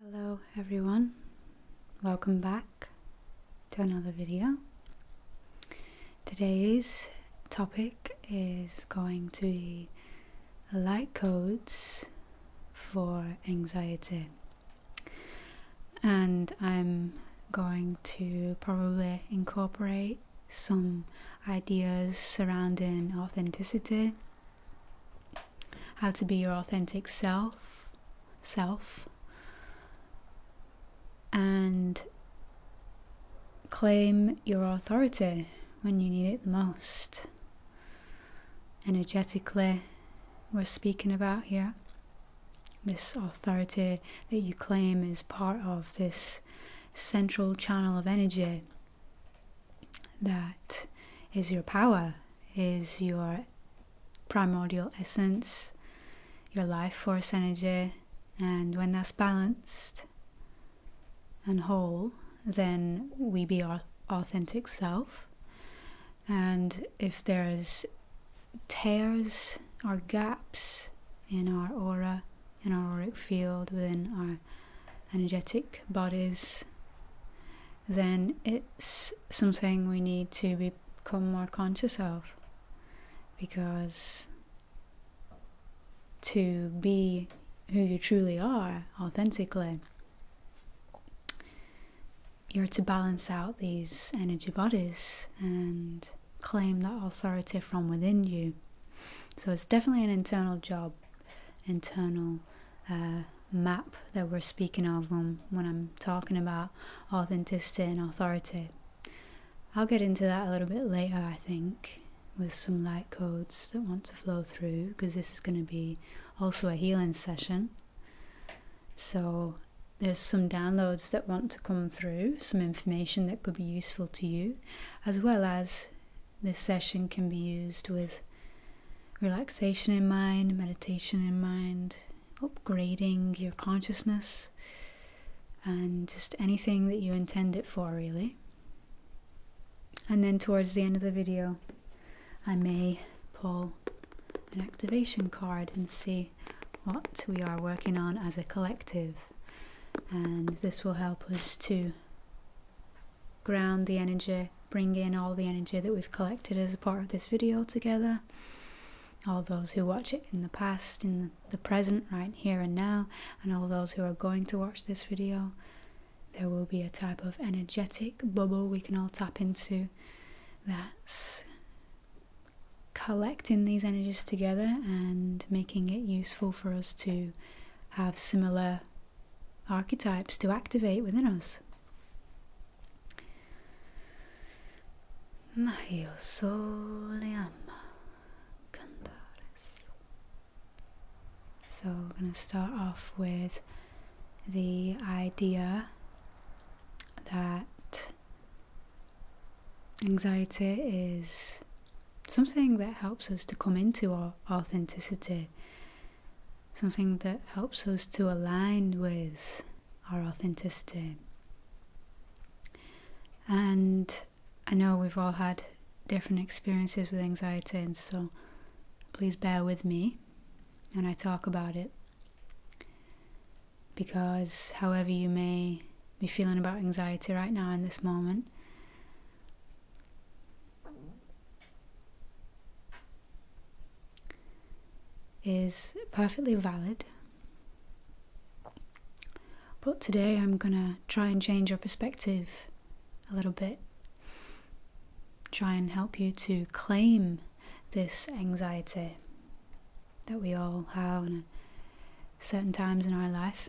Hello everyone, welcome back to another video. Today's topic is going to be light codes for anxiety, and I'm going to probably incorporate some ideas surrounding authenticity how to be your authentic self self and claim your authority when you need it most energetically we're speaking about here this authority that you claim is part of this central channel of energy that is your power, is your primordial essence, your life force energy, and when that's balanced and whole, then we be our authentic self. And if there's tears or gaps in our aura, in our auric field, within our energetic bodies, then it's something we need to become more conscious of because to be who you truly are authentically, you're to balance out these energy bodies and claim that authority from within you. So it's definitely an internal job, internal map that we're speaking of when I'm talking about authenticity and authority. I'll get into that a little bit later, I think, with some light codes that want to flow through because this is going to be also a healing session. So, there's some downloads that want to come through, some information that could be useful to you, as well as this session can be used with relaxation in mind, meditation in mind, upgrading your consciousness, and just anything that you intend it for, really. And then towards the end of the video, I may pull an activation card and see what we are working on as a collective. And this will help us to ground the energy bring in all the energy that we've collected as a part of this video together. All those who watch it in the past, in the present, right here and now, and all those who are going to watch this video, there will be a type of energetic bubble we can all tap into that's collecting these energies together and making it useful for us to have similar archetypes to activate within us. Ma io cantares. So we're going to start off with the idea that anxiety is something that helps us to come into our authenticity something that helps us to align with our authenticity. And I know we've all had different experiences with anxiety, and so please bear with me when I talk about it. Because, however, you may be feeling about anxiety right now in this moment, is perfectly valid. But today I'm going to try and change your perspective a little bit. Try and help you to claim this anxiety that we all have at certain times in our life.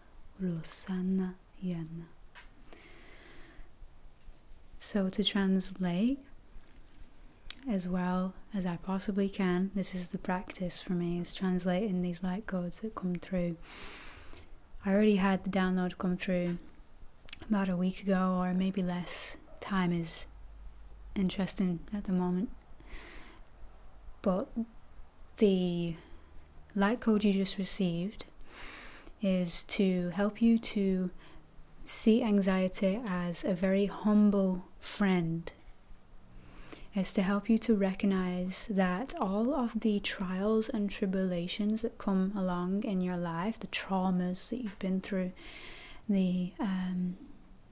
Rosanna Yana. So, to translate as well as I possibly can, this is the practice for me, is translating these light codes that come through. I already had the download come through about a week ago, or maybe less. Time is interesting at the moment. But the light code you just received is to help you to see anxiety as a very humble friend. It's to help you to recognize that all of the trials and tribulations that come along in your life, the traumas that you've been through, the um,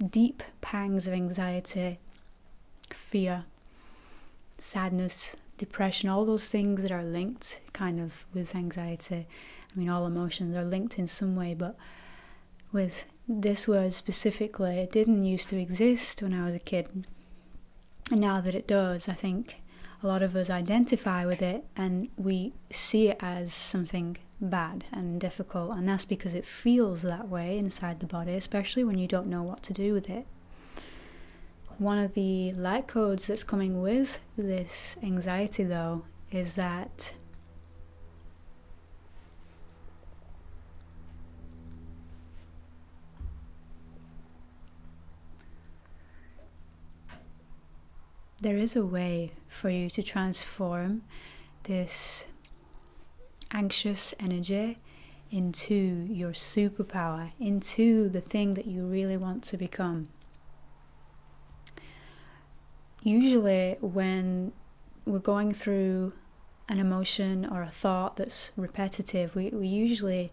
deep pangs of anxiety, fear, sadness, depression, all those things that are linked kind of with anxiety. I mean, all emotions are linked in some way, but with this word specifically, it didn't used to exist when I was a kid. And now that it does, I think a lot of us identify with it and we see it as something bad and difficult. And that's because it feels that way inside the body, especially when you don't know what to do with it. One of the light codes that's coming with this anxiety, though, is that there is a way for you to transform this anxious energy into your superpower, into the thing that you really want to become. Usually, when we're going through an emotion or a thought that's repetitive, we, we usually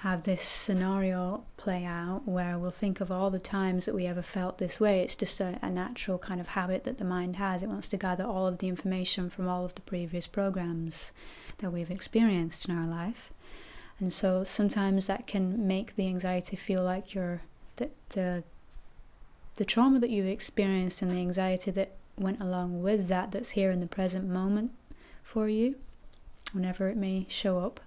have this scenario play out where we'll think of all the times that we ever felt this way. It's just a, a, natural kind of habit that the mind has. It wants to gather all of the information from all of the previous programs that we've experienced in our life. And so sometimes that can make the anxiety feel like you the, the, the trauma that you experienced and the anxiety that went along with that, that's here in the present moment for you, whenever it may show up.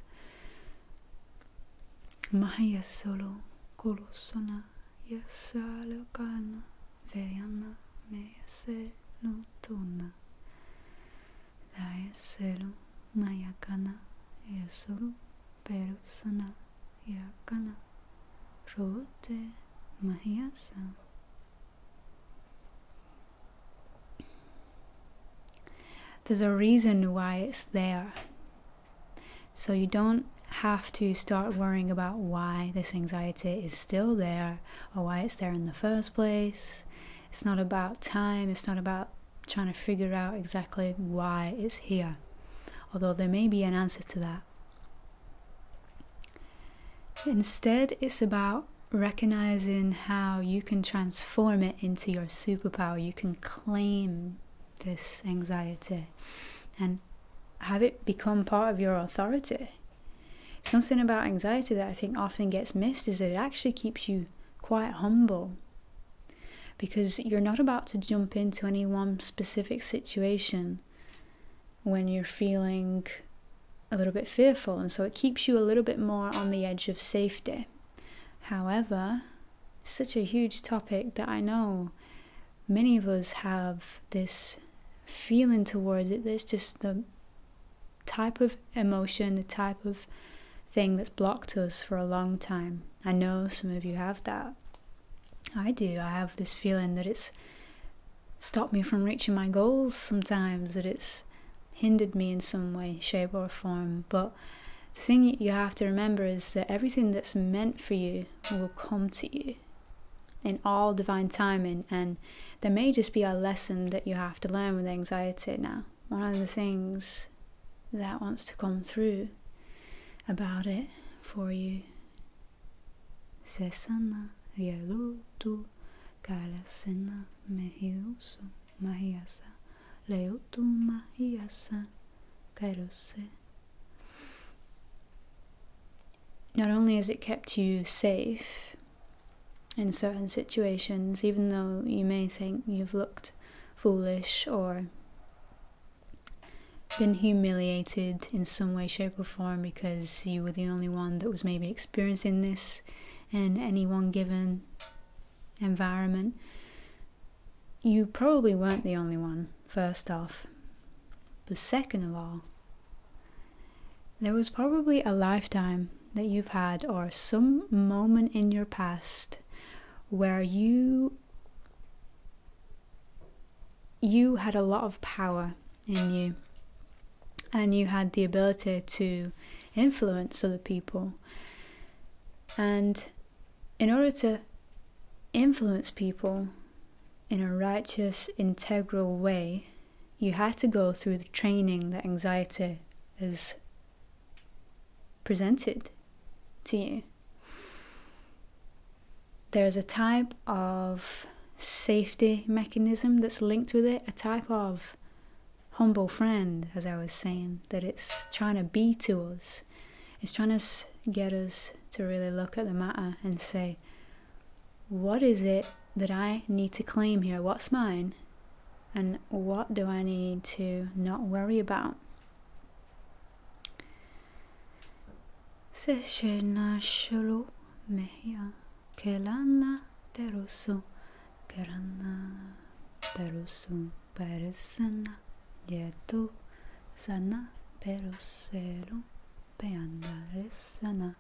There's a reason why it's there. So you don't have to start worrying about why this anxiety is still there or why it's there in the first place. It's not about time, it's not about trying to figure out exactly why it's here, although there may be an answer to that. Instead, it's about recognizing how you can transform it into your superpower. You can claim this anxiety and have it become part of your authority. Something about anxiety that I think often gets missed is that it actually keeps you quite humble because you're not about to jump into any one specific situation when you're feeling a little bit fearful, and so it keeps you a little bit more on the edge of safety. However, such a huge topic that I know many of us have this feeling towards it There's just the type of emotion, the type of thing that's blocked us for a long time. I know some of you have that. I do. I have this feeling that it's stopped me from reaching my goals sometimes, that it's hindered me in some way, shape, or form. But the thing you have to remember is that everything that's meant for you will come to you in all divine timing. And there may just be a lesson that you have to learn with anxiety now. One of the things that wants to come through about it for you. Se Not only has it kept you safe, in certain situations, even though you may think you've looked foolish or been humiliated in some way, shape, or form because you were the only one that was maybe experiencing this in any one given environment. You probably weren't the only one, first off. But second of all, there was probably a lifetime that you've had, or some moment in your past where you you had a lot of power in you and you had the ability to influence other people and in order to influence people in a righteous integral way you had to go through the training that anxiety is presented to you. There's a type of safety mechanism that's linked with it, a type of humble friend, as I was saying, that it's trying to be to us. It's trying to get us to really look at the matter and say, what is it that I need to claim here? What's mine? And what do I need to not worry about? Se scena shulu mehia kelana terusu kerana terusu peresena yetu sana peruselu peandaresana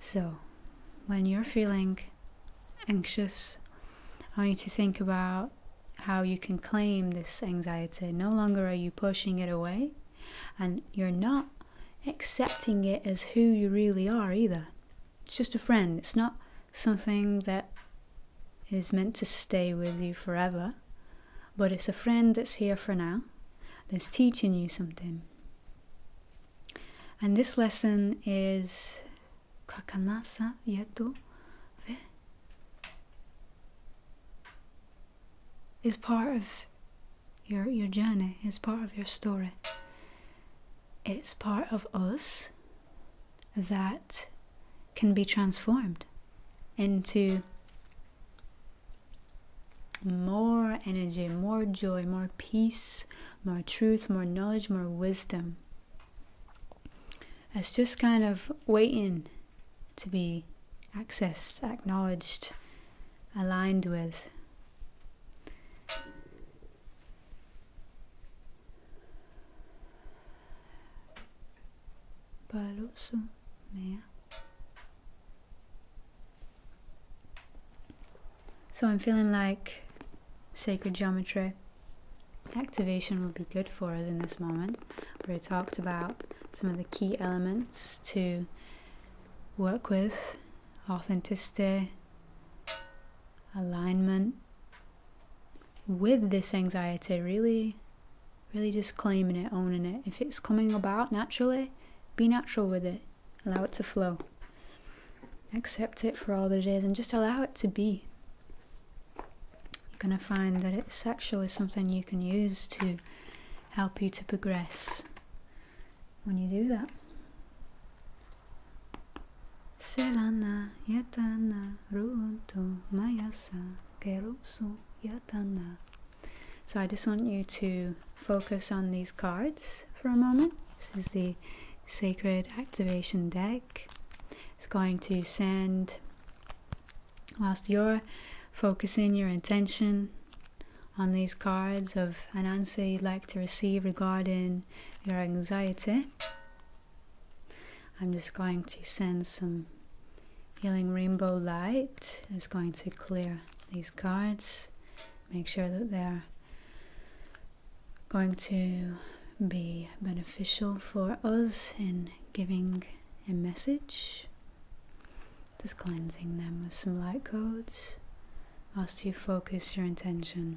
so, when you're feeling anxious, I want you to think about how you can claim this anxiety. No longer are you pushing it away, and you're not accepting it as who you really are either. It's just a friend, it's not something that is meant to stay with you forever but it's a friend that's here for now, that's teaching you something. And this lesson is Kakanasa Yetu Ve. Is part of your, your journey, is part of your story. It's part of us that can be transformed into more energy, more joy, more peace, more truth, more knowledge, more wisdom. It's just kind of waiting to be accessed, acknowledged, aligned with. Paloso, mea. So I'm feeling like sacred geometry activation would be good for us in this moment. We talked about some of the key elements to work with authenticity, alignment with this anxiety, really Really just claiming it, owning it. If it's coming about naturally, be natural with it. Allow it to flow. Accept it for all that it is and just allow it to be. You're going to find that it's actually something you can use to help you to progress when you do that. Selana yatana runtu mayasa kerusu yatana so I just want you to focus on these cards for a moment. This is the Sacred Activation deck. It's going to send, whilst you're focusing your intention on these cards of an answer you'd like to receive regarding your anxiety, I'm just going to send some Healing Rainbow Light is going to clear these cards, make sure that they're going to be beneficial for us in giving a message. Just cleansing them with some light codes ask you to focus your intention.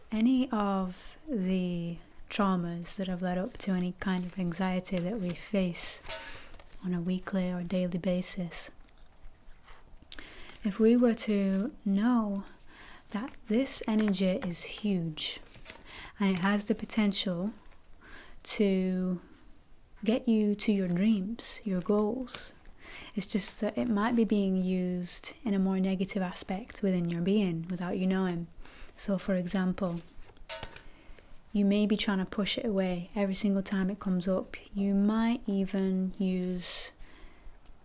any of the traumas that have led up to any kind of anxiety that we face on a weekly or daily basis, if we were to know that this energy is huge and it has the potential to get you to your dreams, your goals. It's just that it might be being used in a more negative aspect within your being without you knowing. So, for example, you may be trying to push it away every single time it comes up. You might even use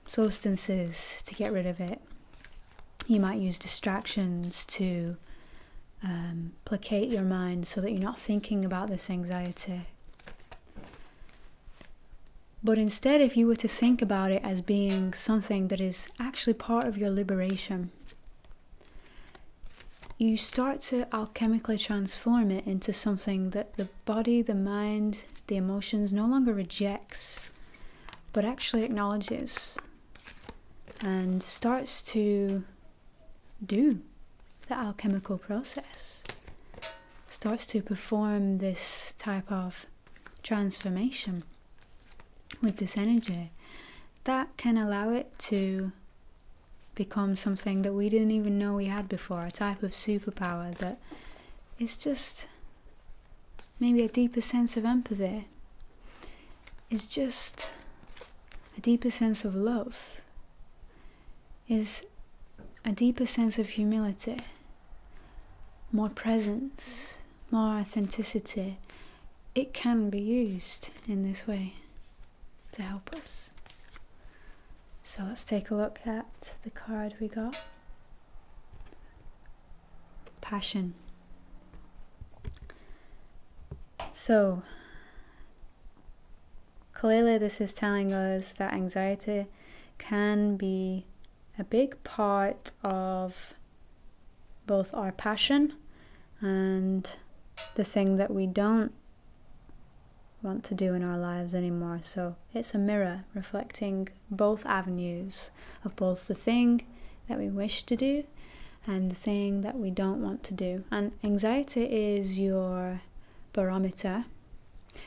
substances to get rid of it. You might use distractions to um, placate your mind so that you're not thinking about this anxiety. But instead, if you were to think about it as being something that is actually part of your liberation, you start to alchemically transform it into something that the body, the mind, the emotions no longer rejects, but actually acknowledges and starts to do the alchemical process, starts to perform this type of transformation with this energy that can allow it to become something that we didn't even know we had before a type of superpower that is just maybe a deeper sense of empathy is just a deeper sense of love is a deeper sense of humility more presence, more authenticity, it can be used in this way to help us. So let's take a look at the card we got Passion. So, clearly, this is telling us that anxiety can be a big part of both our passion and the thing that we don't want to do in our lives anymore. So it's a mirror reflecting both avenues of both the thing that we wish to do and the thing that we don't want to do. And anxiety is your barometer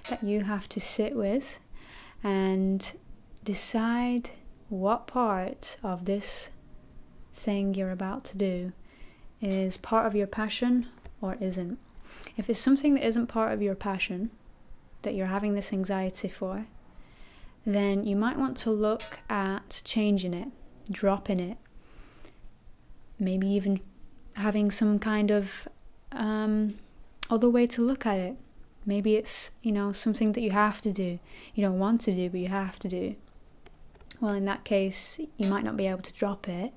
that you have to sit with and decide what part of this thing you're about to do is part of your passion or isn't. If it's something that isn't part of your passion, that you're having this anxiety for, then you might want to look at changing it, dropping it, maybe even having some kind of um, other way to look at it. Maybe it's, you know, something that you have to do. You don't want to do, but you have to do. Well, in that case, you might not be able to drop it,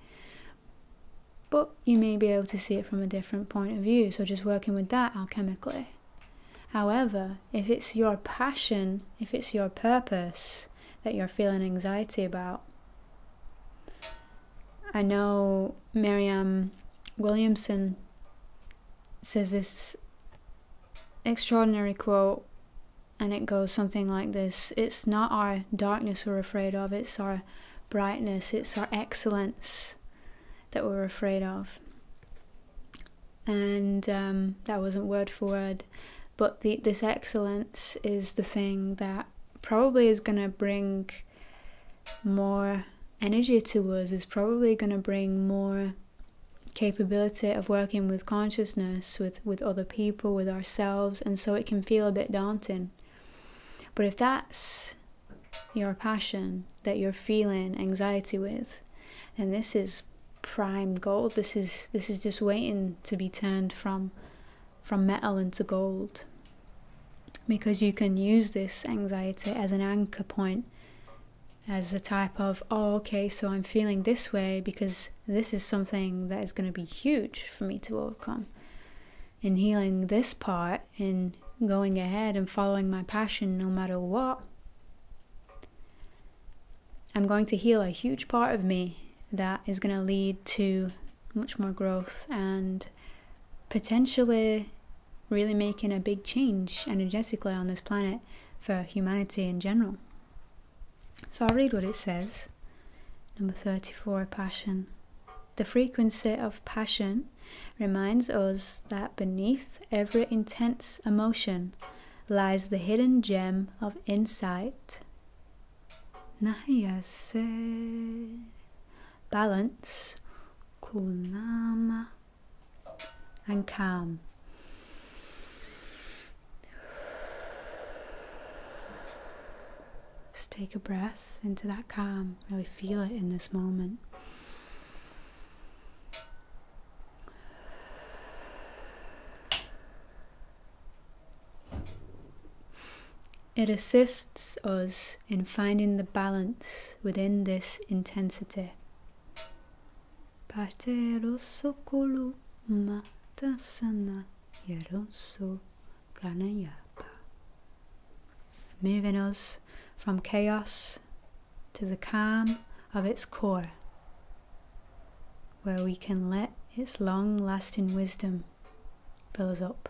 but you may be able to see it from a different point of view. So, just working with that alchemically. However, if it's your passion, if it's your purpose that you're feeling anxiety about, I know Miriam Williamson says this extraordinary quote, and it goes something like this It's not our darkness we're afraid of, it's our brightness, it's our excellence that we're afraid of. And um, that wasn't word for word, but this excellence is the thing that probably is going to bring more energy to us is probably going to bring more capability of working with consciousness with with other people with ourselves and so it can feel a bit daunting but if that's your passion that you're feeling anxiety with then this is prime gold this is this is just waiting to be turned from from metal into gold because you can use this anxiety as an anchor point as a type of, oh, okay, so I'm feeling this way because this is something that is going to be huge for me to overcome. And healing this part and going ahead and following my passion no matter what, I'm going to heal a huge part of me that is going to lead to much more growth and potentially really making a big change energetically on this planet for humanity in general. So I'll read what it says. Number 34 Passion. The frequency of passion reminds us that beneath every intense emotion lies the hidden gem of insight. se Balance. Kunama and calm. Just take a breath into that calm, really feel it in this moment. It assists us in finding the balance within this intensity parte rosso colu matasana yeroso pranayapa. Moving us from chaos to the calm of its core, where we can let its long lasting wisdom fill us up.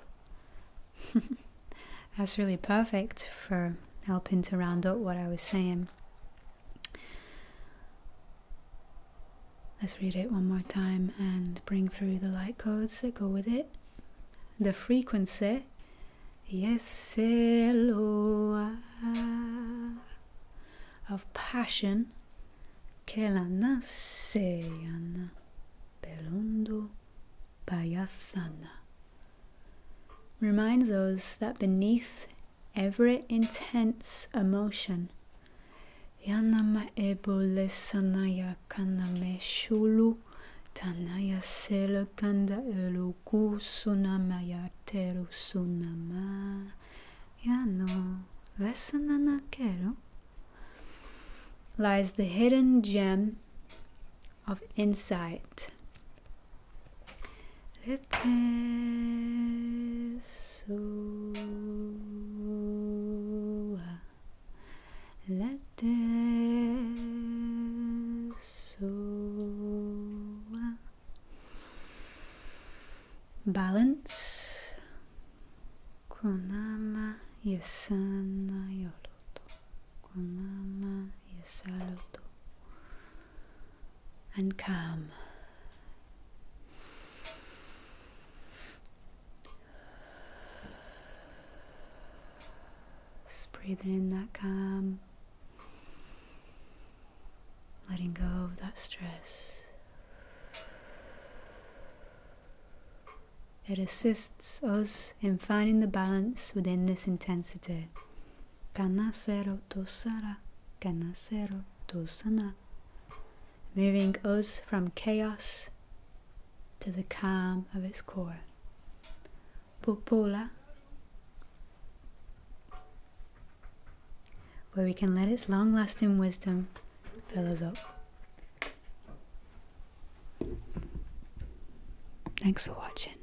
That's really perfect for helping to round up what I was saying. Let's read it one more time and bring through the light codes that go with it. The frequency, yes, hello, of passion, che la nasse, belundu, payasana reminds us that beneath every intense emotion, Yanama ebole sanaya kaname shulu tanaya sele kanda sunama sunamaya teru sunama yano vesanana keru lies the hidden gem of insight let Let so. Letesoa, so. Balance. Konama yesana yoruto. Konama is settled and calm. Just breathing in that calm, letting go of that stress. It assists us in finding the balance within this intensity Kanasero Tosara, Kanasero Tosana, moving us from chaos to the calm of its core. Popula, where we can let its long lasting wisdom fill us up. Thanks for watching.